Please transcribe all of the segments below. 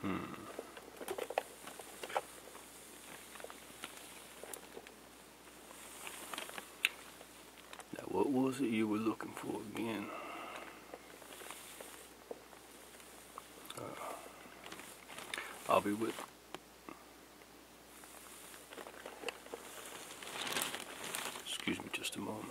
Hmm. Now, what was it you were looking for again? Uh, I'll be with. Excuse me just a moment.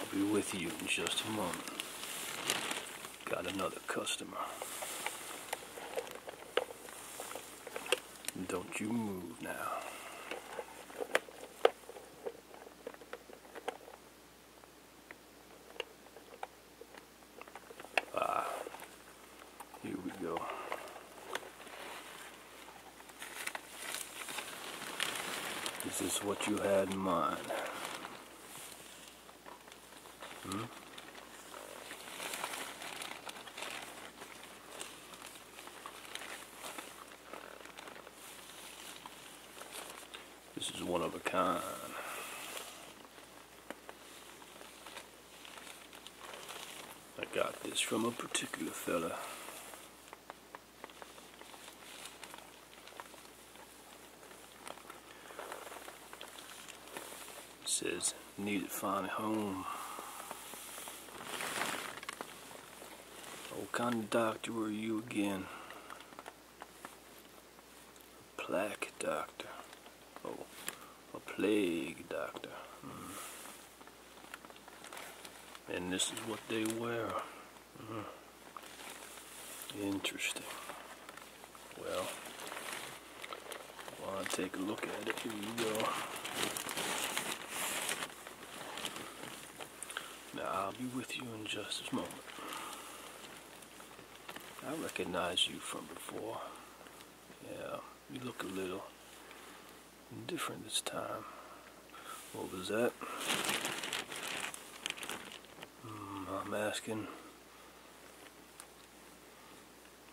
I'll be with you in just a moment. Got another customer. Don't you move now. Ah, here we go. Is this what you had in mind? Hmm? This is one of a kind. I got this from a particular fella. says, need to find a home. What kind of doctor are you again? Plague doctor. Oh, a plague doctor. Hmm. And this is what they wear. Hmm. Interesting. Well, I will take a look at it. Here you go. Now, I'll be with you in just a moment. I recognize you from before. Yeah, you look a little different this time. What was that? Hmm, I'm asking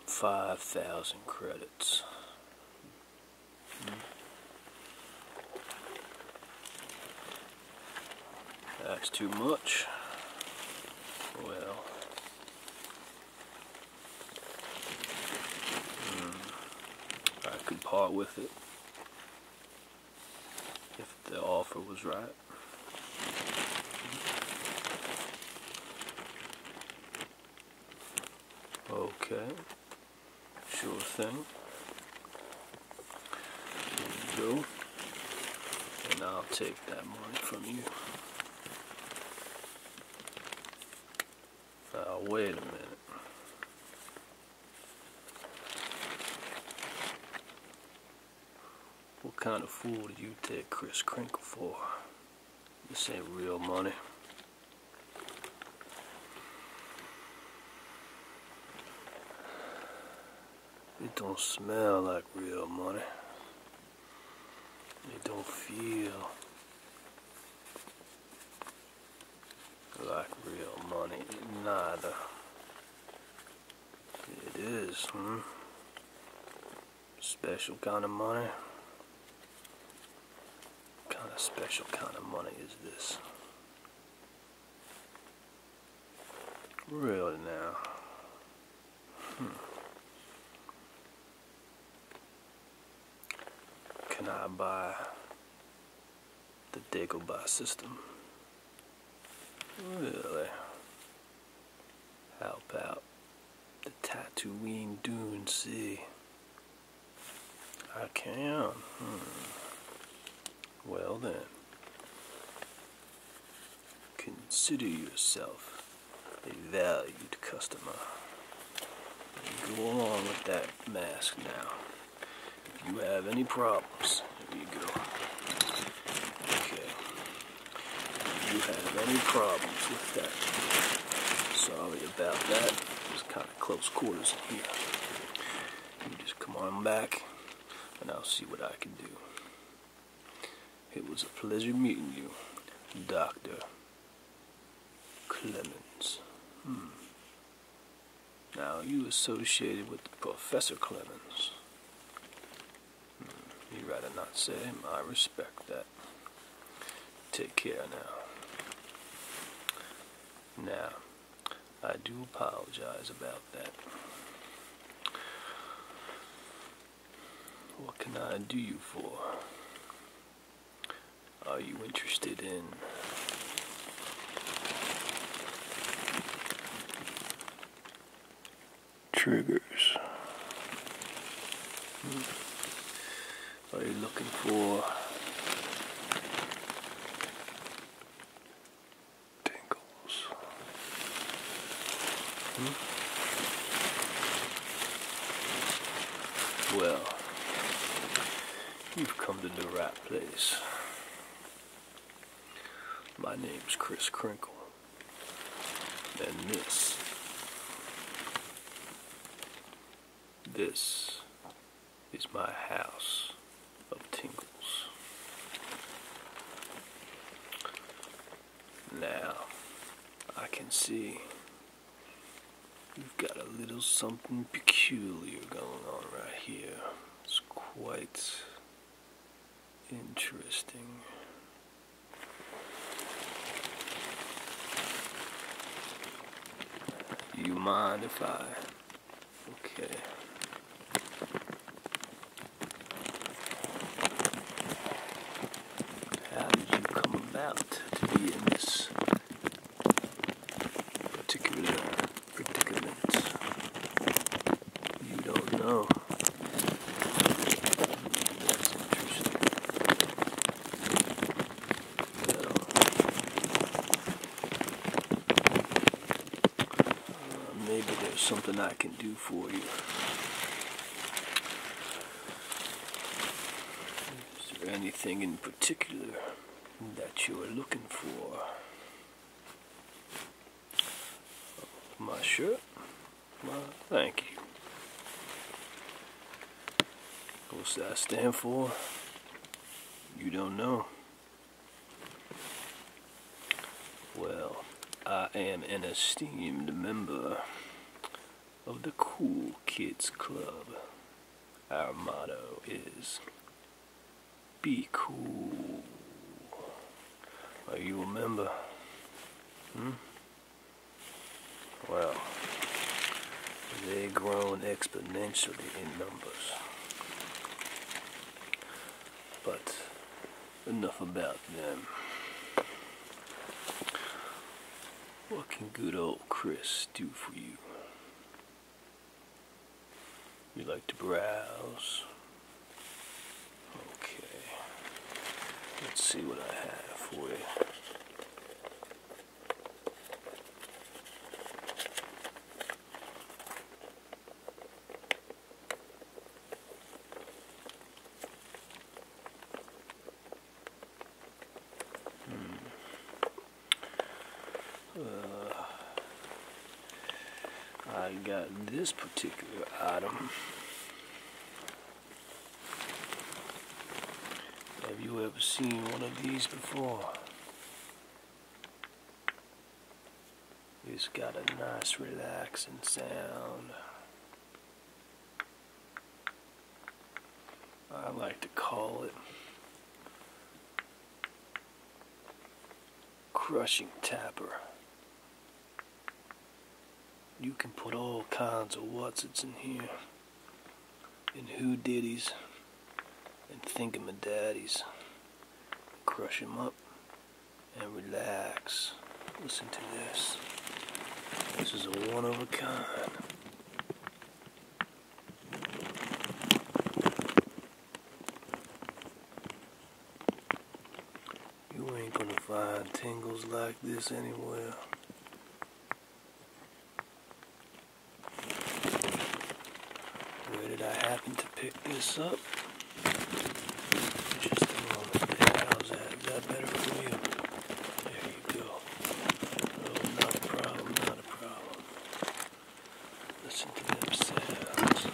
5,000 credits. That's too much. Well. Hmm. I could part with it. If the offer was right. Okay sure thing. There we go. And I'll take that money from you. Now wait a minute. What kind of fool do you take Chris Crinkle for? This ain't real money. It don't smell like real money. It don't feel like real money neither. It is, hmm? Special kind of money. What kind of special kind of money is this? Really now? Hmm. Can I buy the Dagobah system? Really? How about the Tatooine Dune Sea? I can. Hmm. Well then, consider yourself a valued customer. Go along with that mask now. If you have any problems, there you go. Okay. If you have any problems with that, sorry about that. Just close quarters in here. just come on back, and I'll see what I can do. It was a pleasure meeting you, Dr. Clemens. Hmm. Now, you associated with Professor Clemens. Hmm. You'd rather not say I respect that. Take care now. Now, I do apologize about that. What can I do you for? Are you interested in triggers? Hmm. What are you looking for? Tingles. Hmm? Well, you've come to the right place. My name's Chris Crinkle. And this, this is my house of tingles. Now, I can see we have got a little something peculiar going on right here. It's quite interesting. You mind if I? Okay. How did you come about to be in this particular predicament? You don't know. Uh, maybe there's something I can do for you. Is there anything in particular that you are looking for? My shirt? Well, thank you. What does that stand for? You don't know. Well, I am an esteemed member of the Cool Kids Club. Our motto is Be Cool. Are you a member? Hmm? Well, They've grown exponentially in numbers. But enough about them. What can good old Chris do for you? You like to browse? Okay. Let's see what I have for you. Hmm. Uh, I got this particular item have you ever seen one of these before? It's got a nice relaxing sound. I like to call it crushing tapper. You can put all kinds of what's in here and who diddies and thinking my daddies. Crush him up and relax. Listen to this. This is a one of a kind. You ain't gonna find tingles like this anywhere. Where did I happen to pick this up? Just a moment. How's that? Is that better for you? There you go. Oh, not a problem, not a problem. Listen to them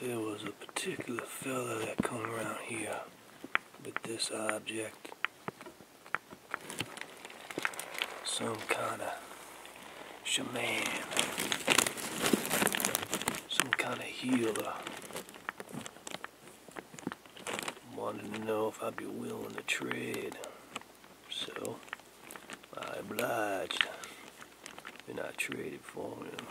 There was a particular fella that come around here with this object some kind of shaman, some kind of healer. Wanted to know if I'd be willing to trade, so I obliged, and I traded for him.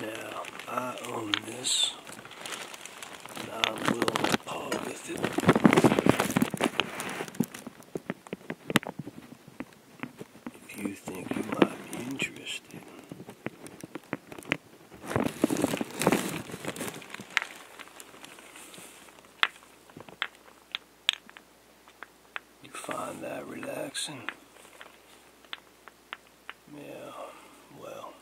Now, I own this, and I will paw with it. If you think you might be interested, you find that relaxing? Yeah, well.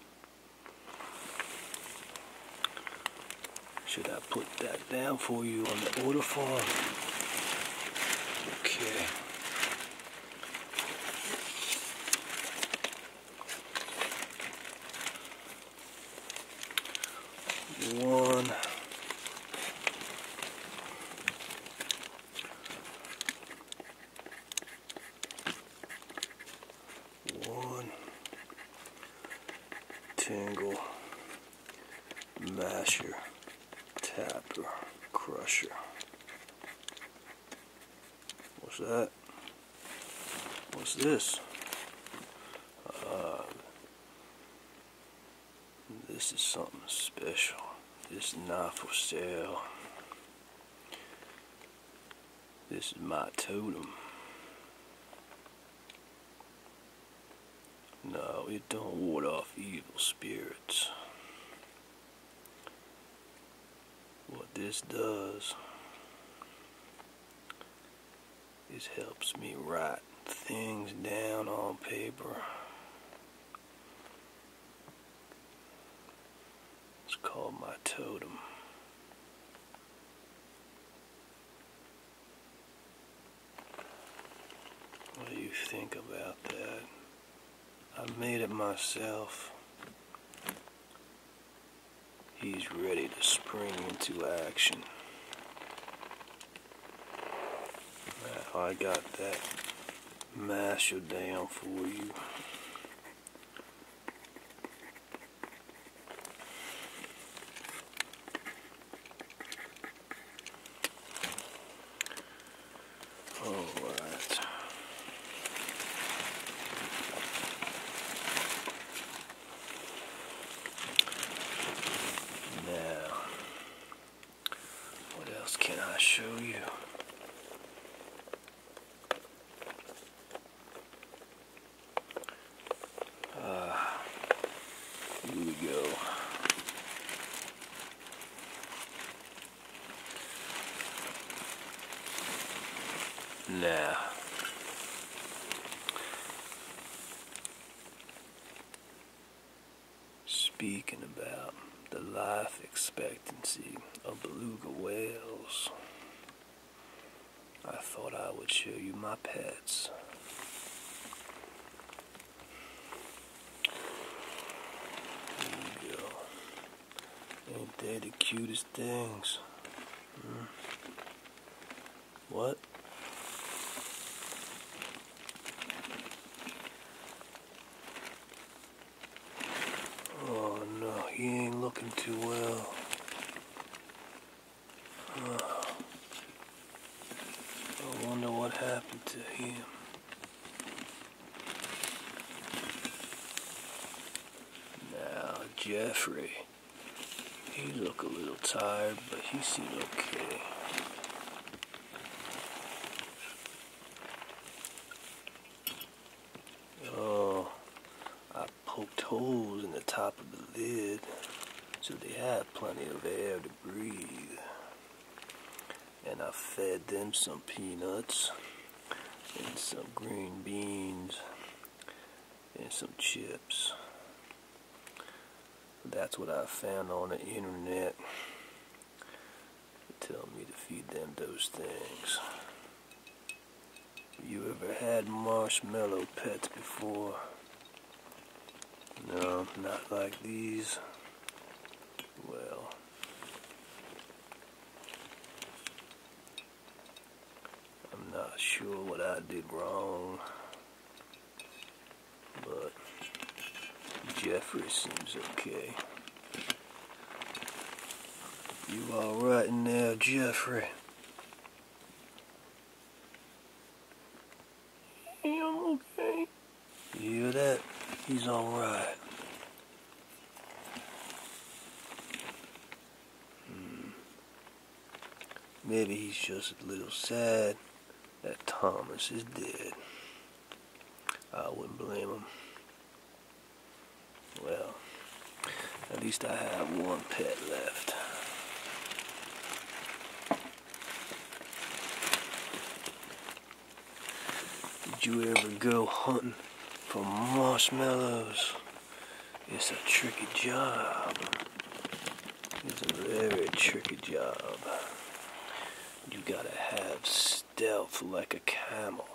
Should I put that down for you on the order form? Okay one one tingle masher tapper crusher What's that? What's this? Uh, this is something special. This knife for sale. This is my totem. No, it don't ward off evil spirits what this does is helps me write things down on paper it's called my totem what do you think about that I made it myself. He's ready to spring into action. I got that masher down for you. Alright. Now, what else can I show you? Uh, here we go. Nah. Speaking about the life expectancy of beluga whales, I thought I would show you my pets. There you go. Ain't they the cutest things? Mm. What? Oh no, he ain't looking too well. I wonder what happened to him. Now, Jeffrey, he looked a little tired, but he seemed okay. Oh, I poked holes in the top of the lid so they had plenty of air to breathe. And I fed them some peanuts and some green beans and some chips. That's what I found on the internet. They tell me to feed them those things. You ever had marshmallow pets before? No, not like these. Well, I'm not sure what I did wrong, but Jeffrey seems okay. You alright in Jeffrey? I'm okay. hear that? He's alright. Hmm. Maybe he's just a little sad that Thomas is dead. I wouldn't blame him. Well, at least I have one pet left. Did you ever go hunting? for marshmallows. It's a tricky job. It's a very tricky job. You gotta have stealth like a camel.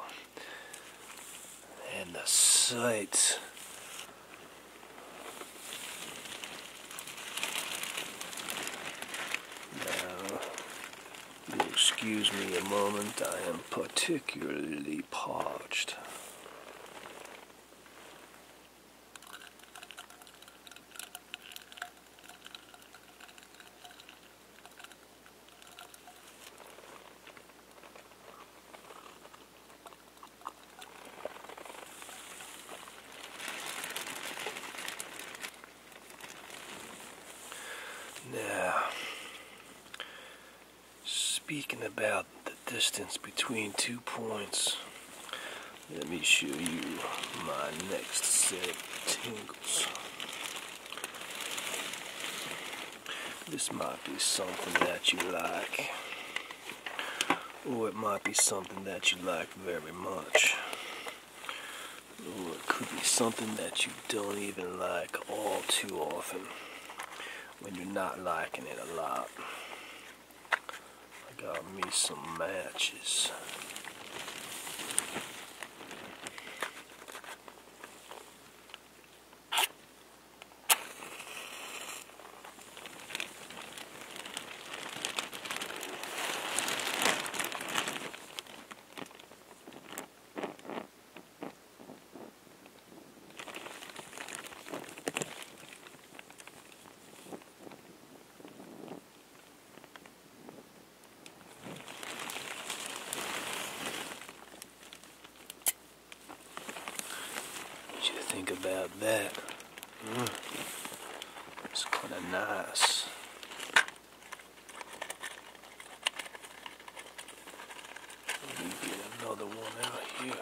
And the sight. Now, excuse me a moment, I am particularly parched. Now, Speaking about the distance between two points, let me show you my next set of tingles. This might be something that you like, or it might be something that you like very much, or it could be something that you don't even like all too often when you're not liking it a lot. I got me some matches. What you think about that? Hmm. It's kind of nice get another one out here.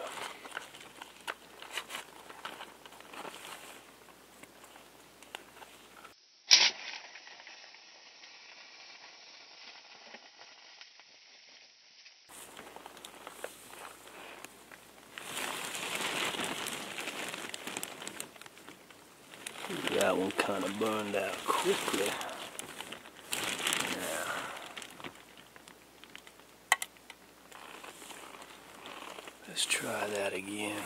That one kind of burned out quickly. Let's try that again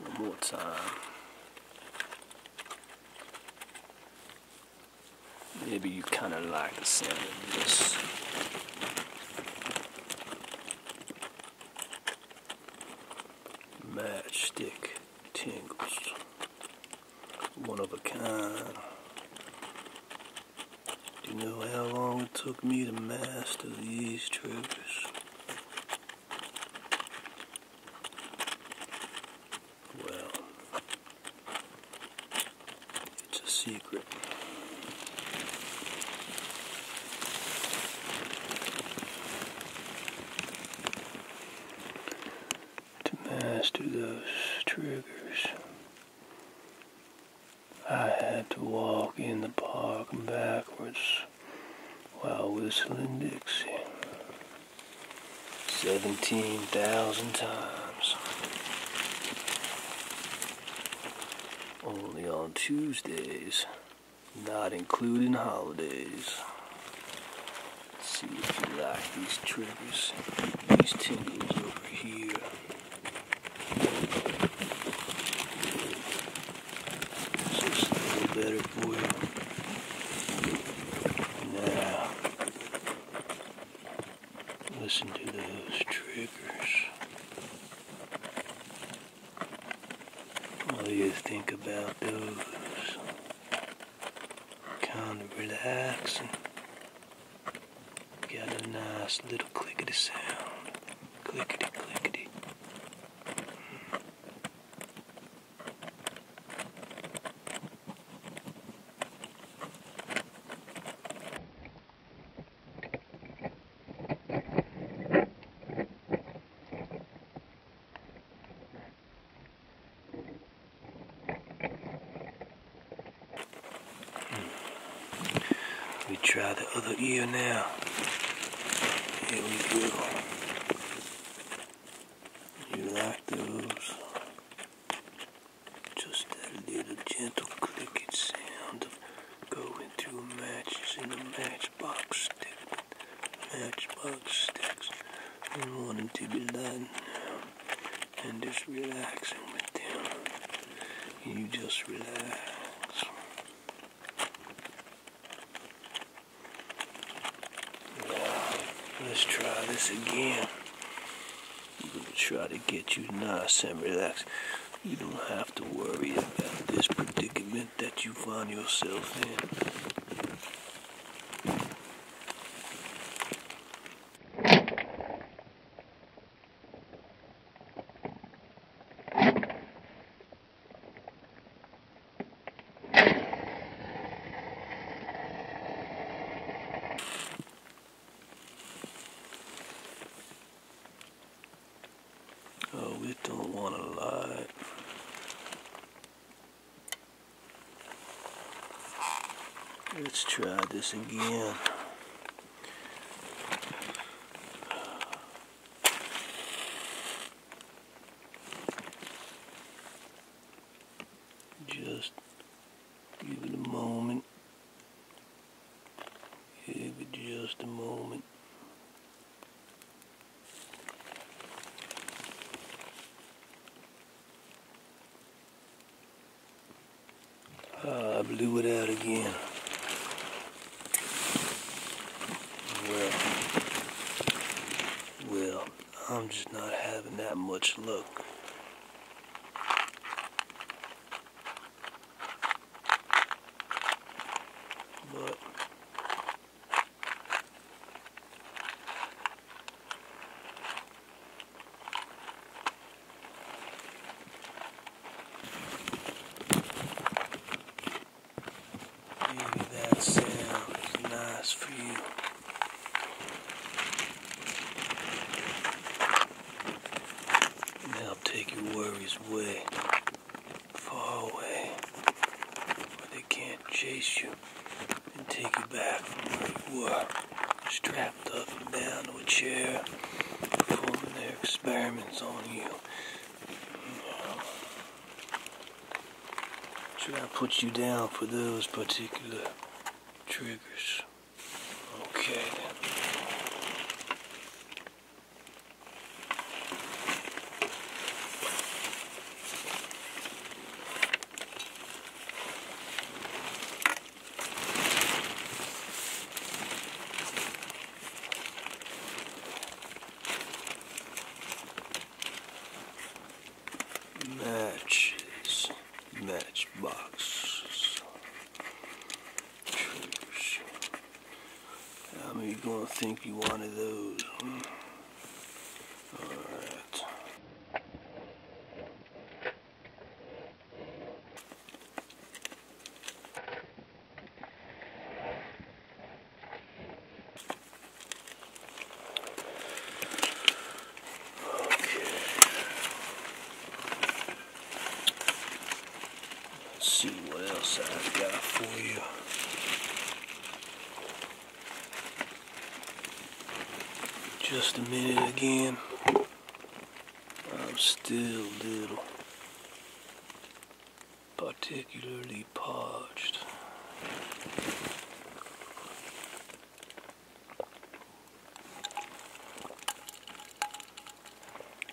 one more time. Maybe you kind of like the sound of this. Matchstick tingles one of a kind. Do you know how long it took me to master these triggers? Well, it's a secret to master those triggers. I had to walk in the park backwards while whistling Dixie. 17,000 times. Only on Tuesdays, not including holidays. Let's see if you like these triggers. These tingles over here. Just a little better for you. Now, listen to those triggers. What do you think about those? kind of relax and get a nice little clickety sound. Clickety, clickety. We hmm. try the other ear now. Here we go. You like those? Just that little gentle clicking sound of going through matches in a matchbox stick. Matchbox sticks. We want it to be done and just relax with him. You just relax. let's try this again. We'll try to get you nice and relaxed. You don't have to worry about this predicament that you find yourself in. Oh, we don't want to lie. Let's try this again. Just give it a moment. Give it just a moment. I uh, blew it out again. Well, well, I'm just not having that much luck. But Maybe that sounds nice for you. Now take your worries away, far away, where they can't chase you and take you back from where you were, strapped up and down to a chair, performing their experiments on you. Should to put you down for those particular triggers? Okay matches, matchbox. How many you gonna think you wanted those? Hmm. Okay. Let's see what else I've got for you. Just a minute again. I'm still little. Particularly parched.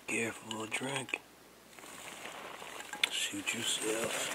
Careful of drink. Shoot yourself.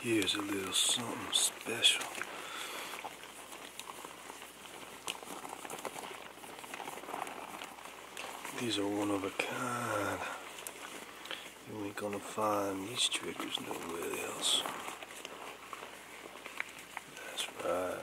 Here's a little something special. These are one of a kind. You ain't gonna find these triggers nowhere else. That's right.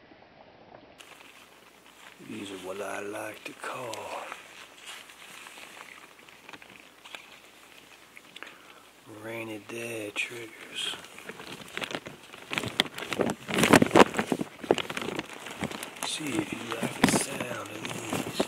These are what I like to call rainy day triggers. See if you like the sound of these.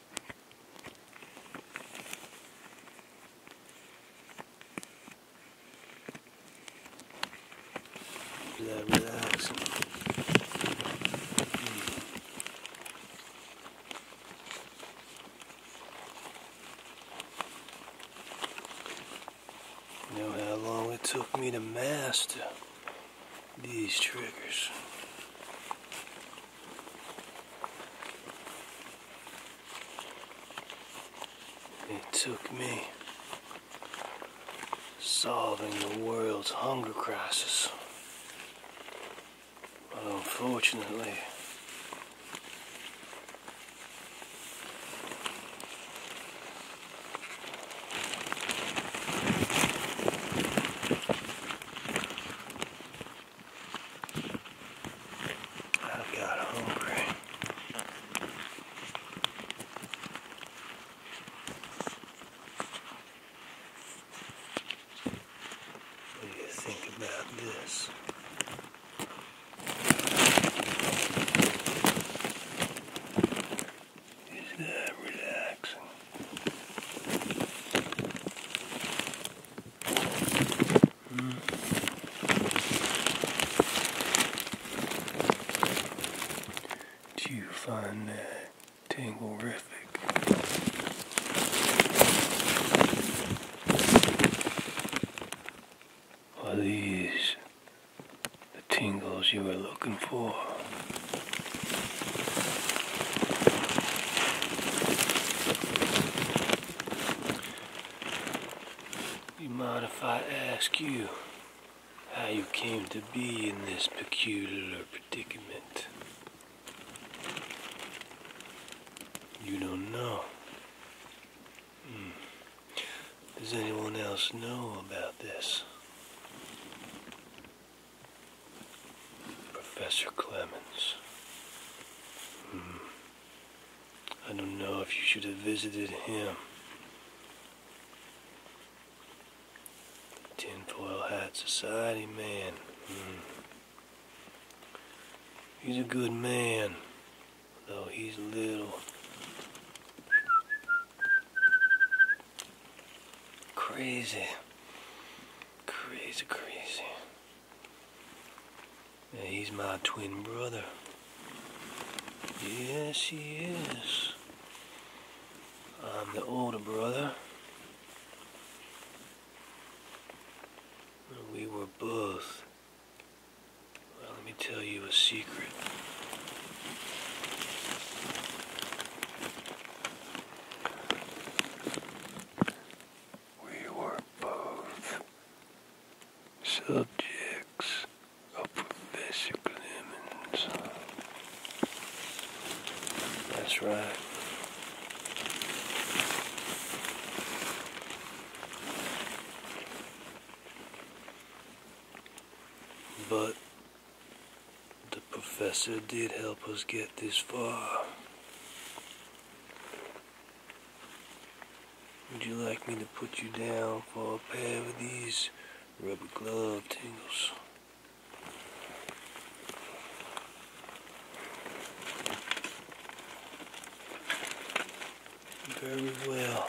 relax. You know how long it took me to master these triggers. It took me solving the world's hunger crisis. But unfortunately, i got hungry. What do you think about this? Is that relaxing? Do you find that tangle Are these the tingles you were looking for? You mind if I ask you how you came to be in this peculiar predicament? You don't know. Hmm. Does anyone else know about this? Professor Clemens. Hmm. I don't know if you should have visited him. tinfoil hat society man. Hmm. He's a good man, though he's a little. Crazy. Crazy, crazy he's my twin brother. Yes, he is. I'm the older brother. We were both. Well, let me tell you a secret we were both subjects of Professor Clemens. That's right. But the professor did help us get this far. Would you like me to put you down for a pair of these rubber glove tangles? Very well.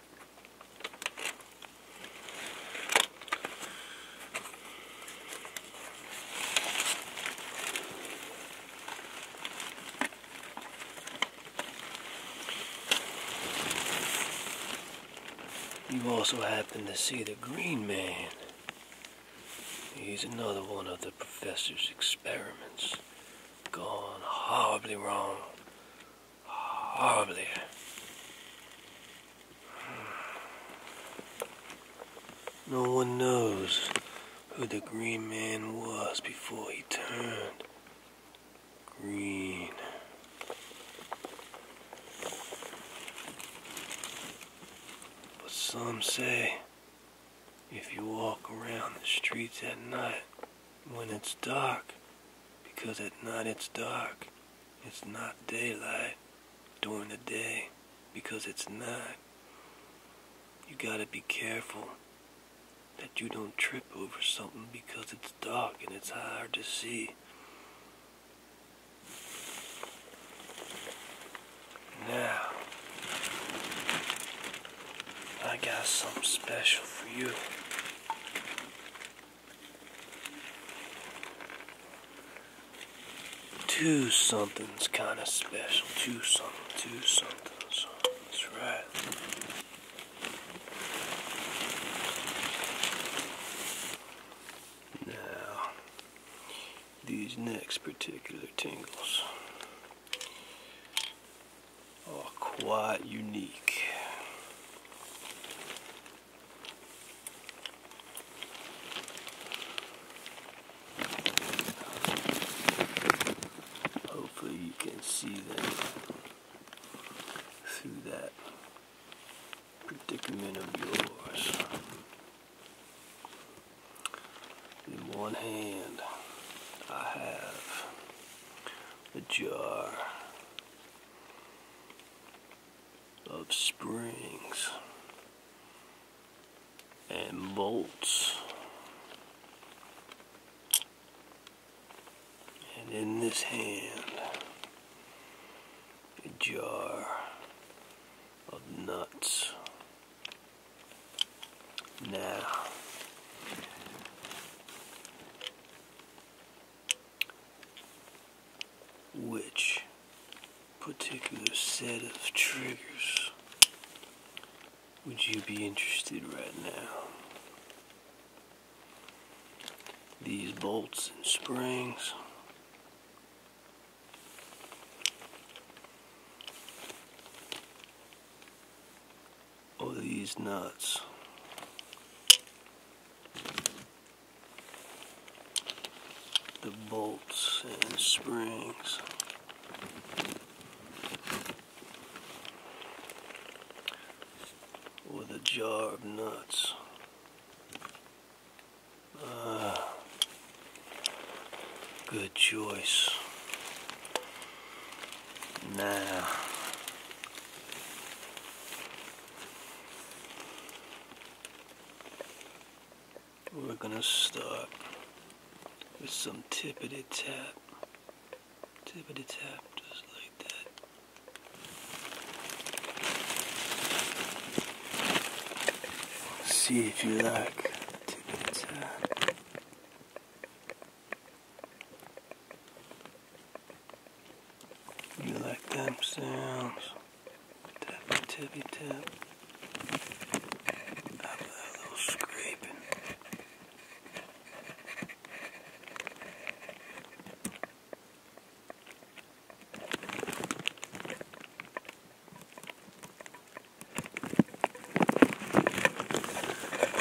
You also happen to see the Green Man. He's another one of the professor's experiments gone horribly wrong horribly. No one knows who the green man was before he turned green. But some say if you walk around the streets at night when it's dark, because at night it's dark, it's not daylight during the day because it's night. You gotta be careful that you don't trip over something because it's dark and it's hard to see. Now, I got something special for you. Two something's kind of special. Two something, two something, That's right. Now, these next particular tingles are quite unique. Hopefully you can see that through that predicament of yours. In one hand, I have a jar of springs and bolts. And in this hand, a jar of nuts. Now, which particular set of triggers would you be interested right now? These bolts and springs. Or these nuts the bolts and springs. With a jar of nuts. Ah, good choice. Now, we're gonna start with some tippity tap, tippity tap, just like that. See if you like tippity tap. You like them sounds? Tappy tippy tap. I love a scraping.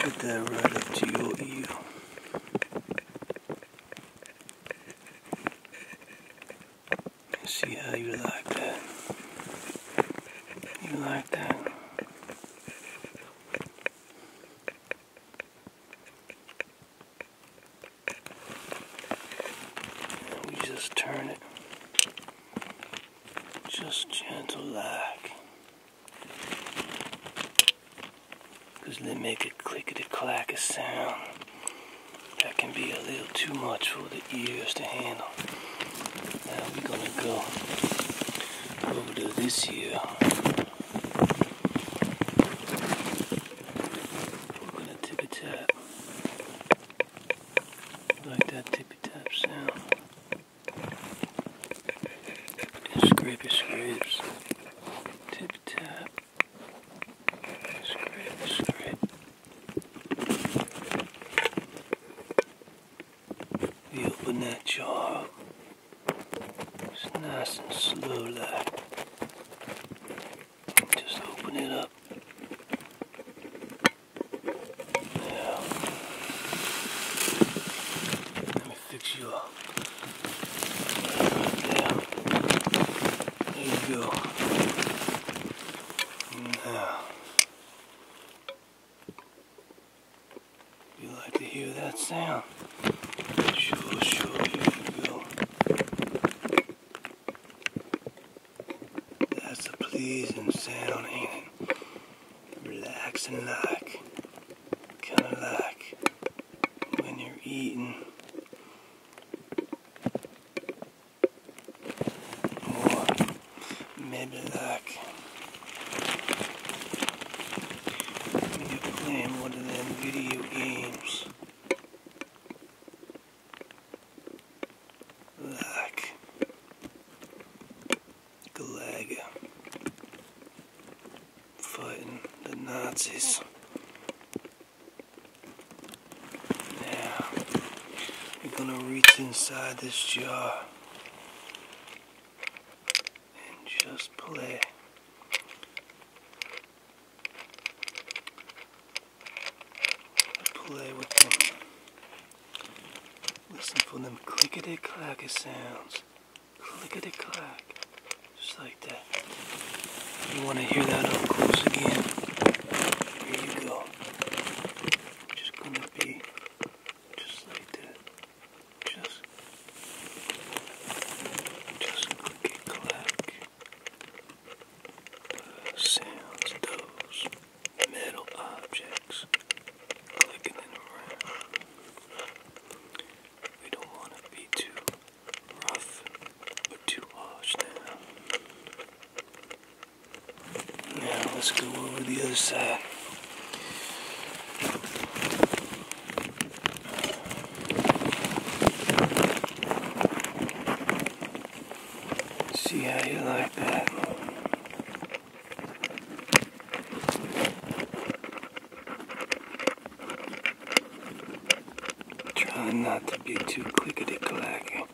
Put that right up to your ear. See how you like that. You like that. just turn it. Just gentle like because they make a clickety clack sound that can be a little too much for the ears to handle. Now we're gonna go over to this here. We're gonna tippy tap. Like that tippy tap sound. And scrapey scrapes. Tip tap open that jar. It's nice and slow like. Just open it up. Now, let me fix you up. Now, there you go. Now, you like to hear that sound? Sure, sure, you go. That's a pleasing sound, ain't it? Relaxing like, kinda like when you're eating. Or maybe like you playing one of them video games. Like Galaga fighting the Nazis. Now, we're gonna reach inside this jar and just play. Play with them. Listen for them clickety clacker sounds. Clickety clack. Just like that. You want to hear that up close again? Here you go. Just gonna be just like that. Just, just clicky clack. sounds those metal objects clicking around. We don't want to be too now let's go over the other side. See how you like that. Try not to be too clickety clacky,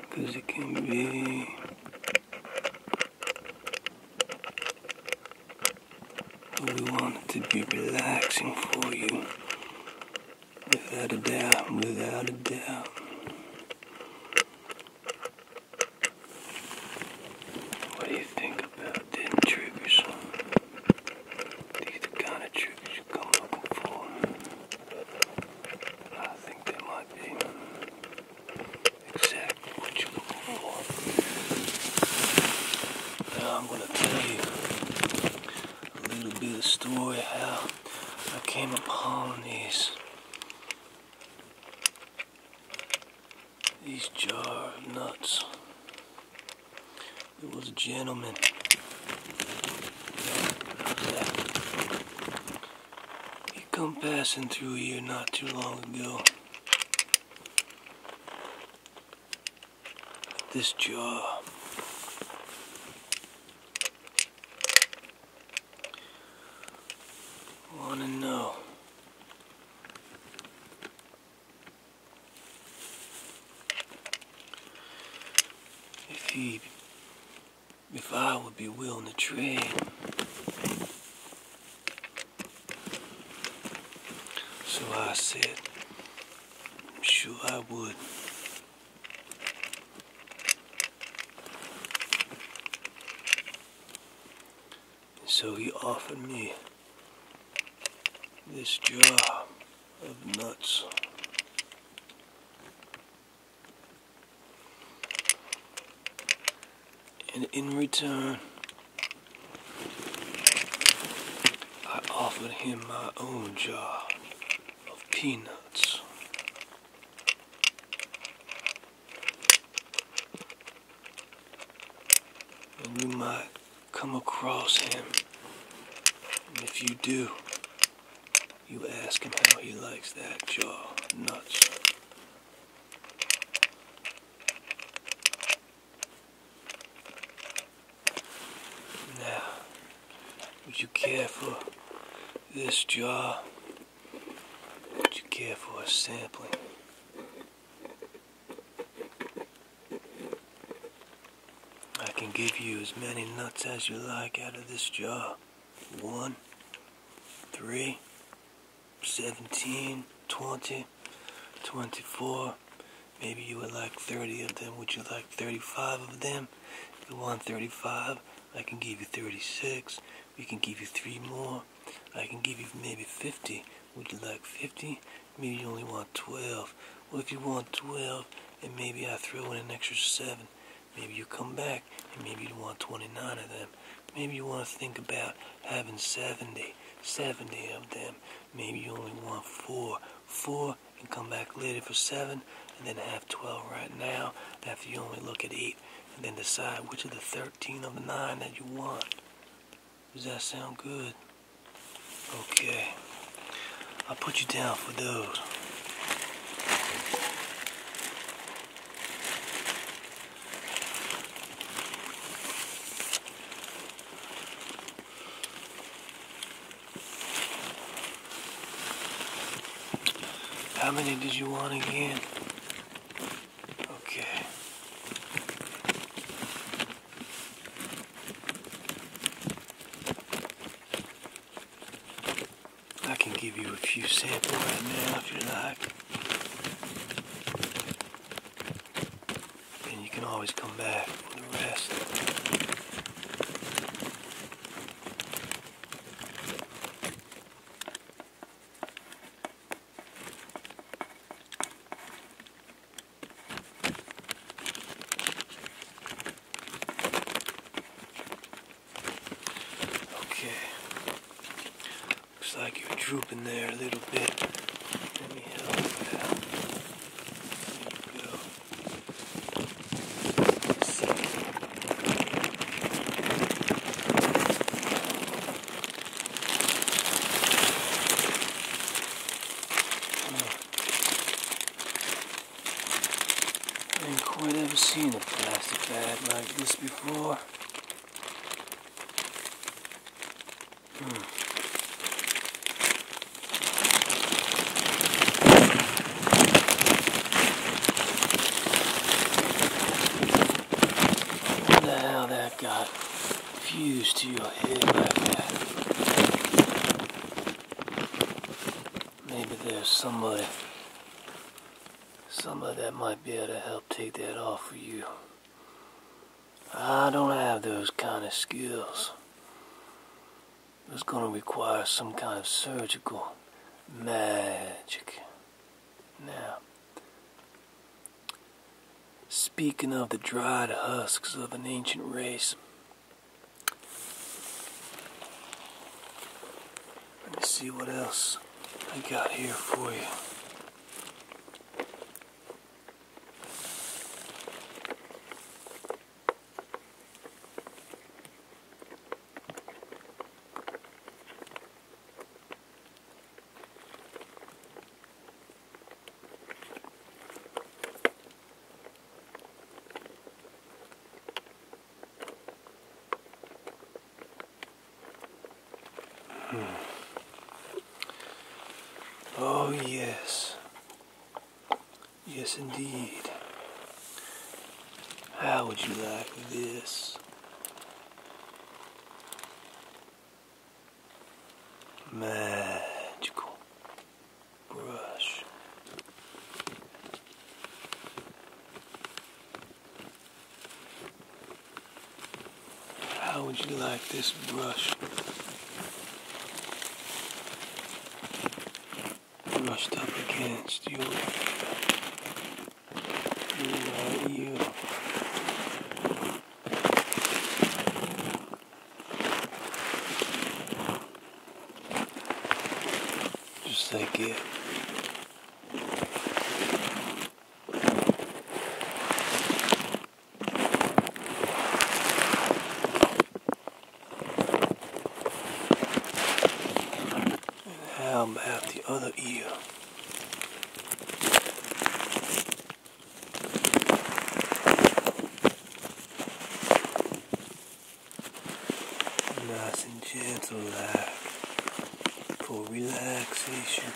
because it can be we want it to be relaxing for you. Without a doubt, without a doubt. What do you think these are the kind of triggers you come looking for. I think they might be exactly what you're looking for. Now I'm going to tell you a little bit of story how I came upon these. These jar of nuts. It was a gentleman. He come passing through here not too long ago. This jaw. Wanna know if he, if I would be willing to trade, so I said, sure I would. So he offered me this jar of nuts. And in return, I offered him my own jar of peanuts. And you come across him. if you do, you ask him how he likes that jaw nuts. Now, would you care for this jaw? Would you care for a sampling? I can give you as many nuts as you like out of this jar. One, three, seventeen, twenty, twenty-four. Maybe you would like 30 of them. Would you like 35 of them? If you want 35, I can give you 36. We can give you three more. I can give you maybe 50. Would you like 50? Maybe you only want 12. Well, if you want 12, and maybe I throw in an extra 7. Maybe you come back, and maybe you want 29 of them. Maybe you want to think about having 70, of them. Maybe you only want 4, 4, and come back later for 7, and then have 12 right now after you only look at 8, and then decide which of the 13 of the 9 that you want. Does that sound good? Okay. I'll put you down for those. How many did you want again? Okay. I can give you a few samples right now if you like. And you can always come back for the rest. Okay. Looks like you're drooping there a little bit. Let me help you out. There you go. So. Oh. I didn't quite ever seen a plastic bag like this before. Hmm. got fuse to your head like that. Maybe there's somebody, somebody that might be able to help take that off for you. I don't have those kind of skills. It's going to require some kind of surgical magic. Now, speaking of the dried husks of an ancient race, let me see what else I got here for you. Hmm. Oh, yes. Yes, indeed. How would you like this? magical brush. How would you like this brush? Brushed up against you? your right just like it. And how about the other ear? Nice and gentle there uh, for relaxation.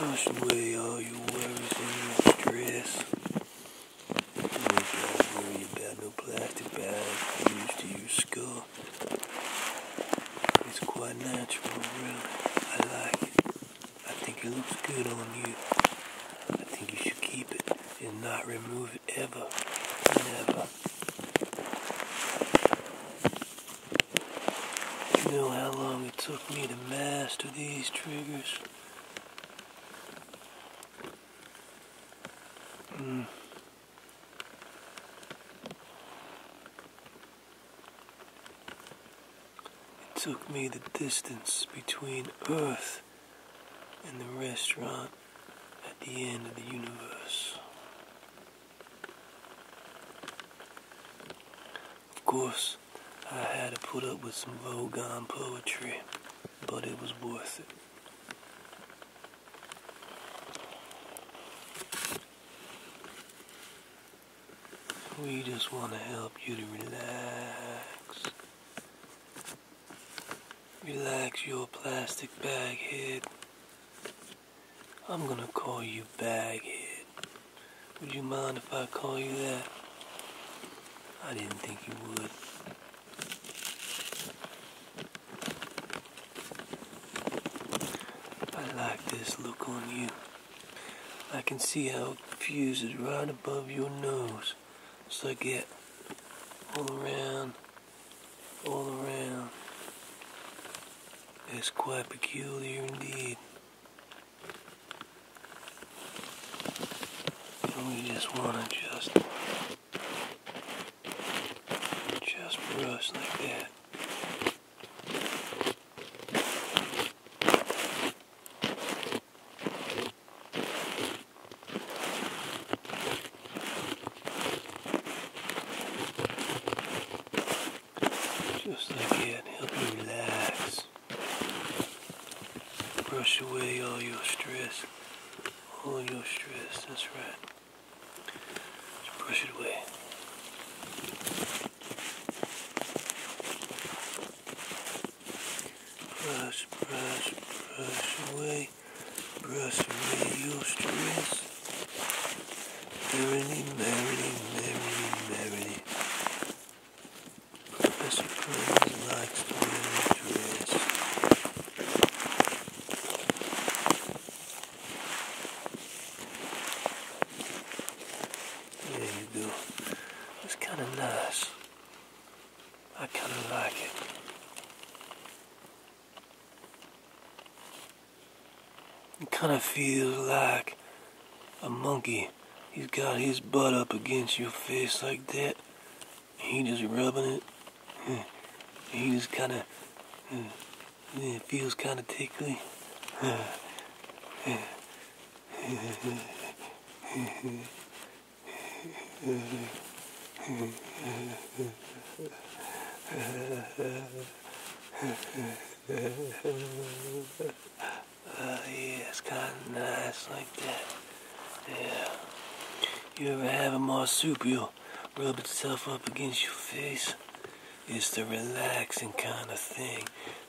Wash away all your worries and stress. don't worry about no plastic bags used to your skull. It's quite natural, really. I like it. I think it looks good on you. I think you should keep it and not remove it ever. Never. You know how long it took me to master these triggers? Hmm. It took me the distance between Earth and the restaurant at the end of the universe. Of course, I had to put up with some Vogon poetry, but it was worth it. We just want to help you to relax. Relax your plastic bag head. I'm gonna call you Baghead. Would you mind if I call you that? I didn't think you would. I like this look on you. I can see how it fuses right above your nose. So I get All around. All around. It's quite peculiar indeed. we just want to just... Just brush like that. Just again, help you relax. Brush away all your stress. All your stress, that's right. Just brush it away. Brush, brush, brush away, brush away your stress. Merrily, merrily, merrily, merrily. Professor Crane likes to wear a dress. There you go. It's kind of nice. I kind of like it. It kind of feels like a monkey. He's got his butt up against your face like that. He just rubbing it. He just kind of. It feels kind of tickly. uh, yeah, it's kind of nice like that. Yeah. You ever have a marsupial rub itself up against your face? It's the relaxing kind of thing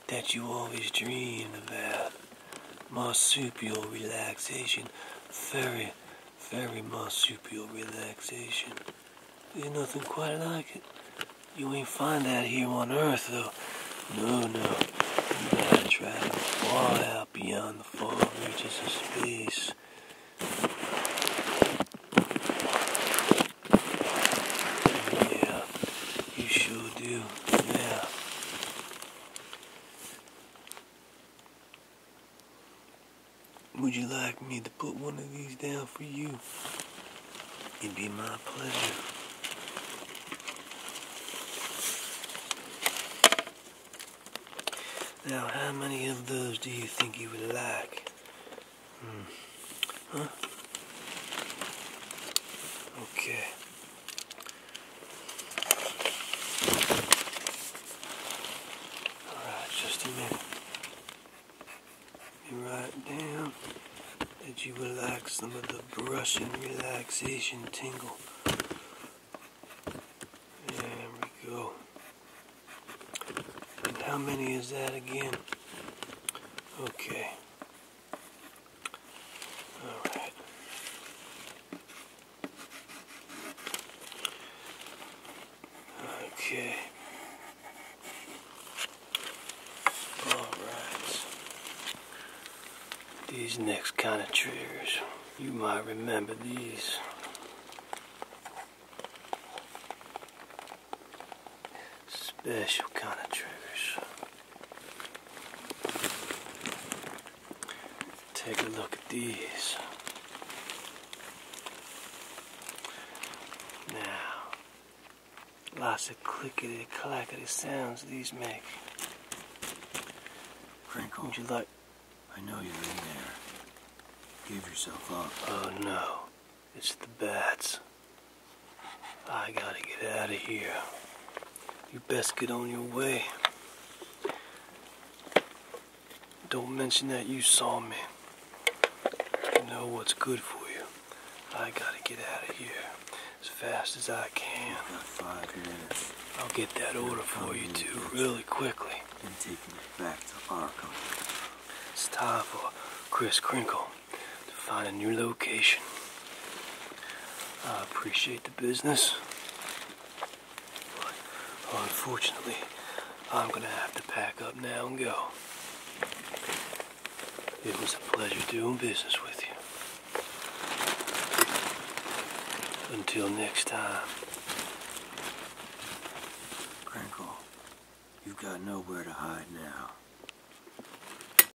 that you always dream about. Marsupial relaxation. Very, very marsupial relaxation. There's nothing quite like it. You ain't find that here on Earth, though. No, no. You gotta travel far out beyond the far reaches of space. Yeah, you sure do. Yeah. Would you like me to put one of these down for you? It'd be my pleasure. Now, how many of those do you think you would like? Hmm. Huh? Okay. Alright, just a minute. You write down that you relax some of the brush and relaxation tingle. There we go. how many is that again? Okay. Alright. Okay. Alright. These next kind of triggers, you might remember these. Special kind of triggers. Take a look at these. Now, lots of clickety clackety sounds these make. Crinkle, would you like? I know you're in there. Give yourself up. Oh no, it's the bats. I gotta get out of here. You best get on your way. Don't mention that you saw me. You know what's good for you. I gotta get out of here as fast as I can. Five minutes. I'll get that order for you too, really quickly. And taking it back to Arkham. It's time for Chris Crinkle to find a new location. I appreciate the business, but unfortunately, I'm gonna have to pack up now and go. It was a pleasure doing business with you. Until next time. Crinkle, you've got nowhere to hide now.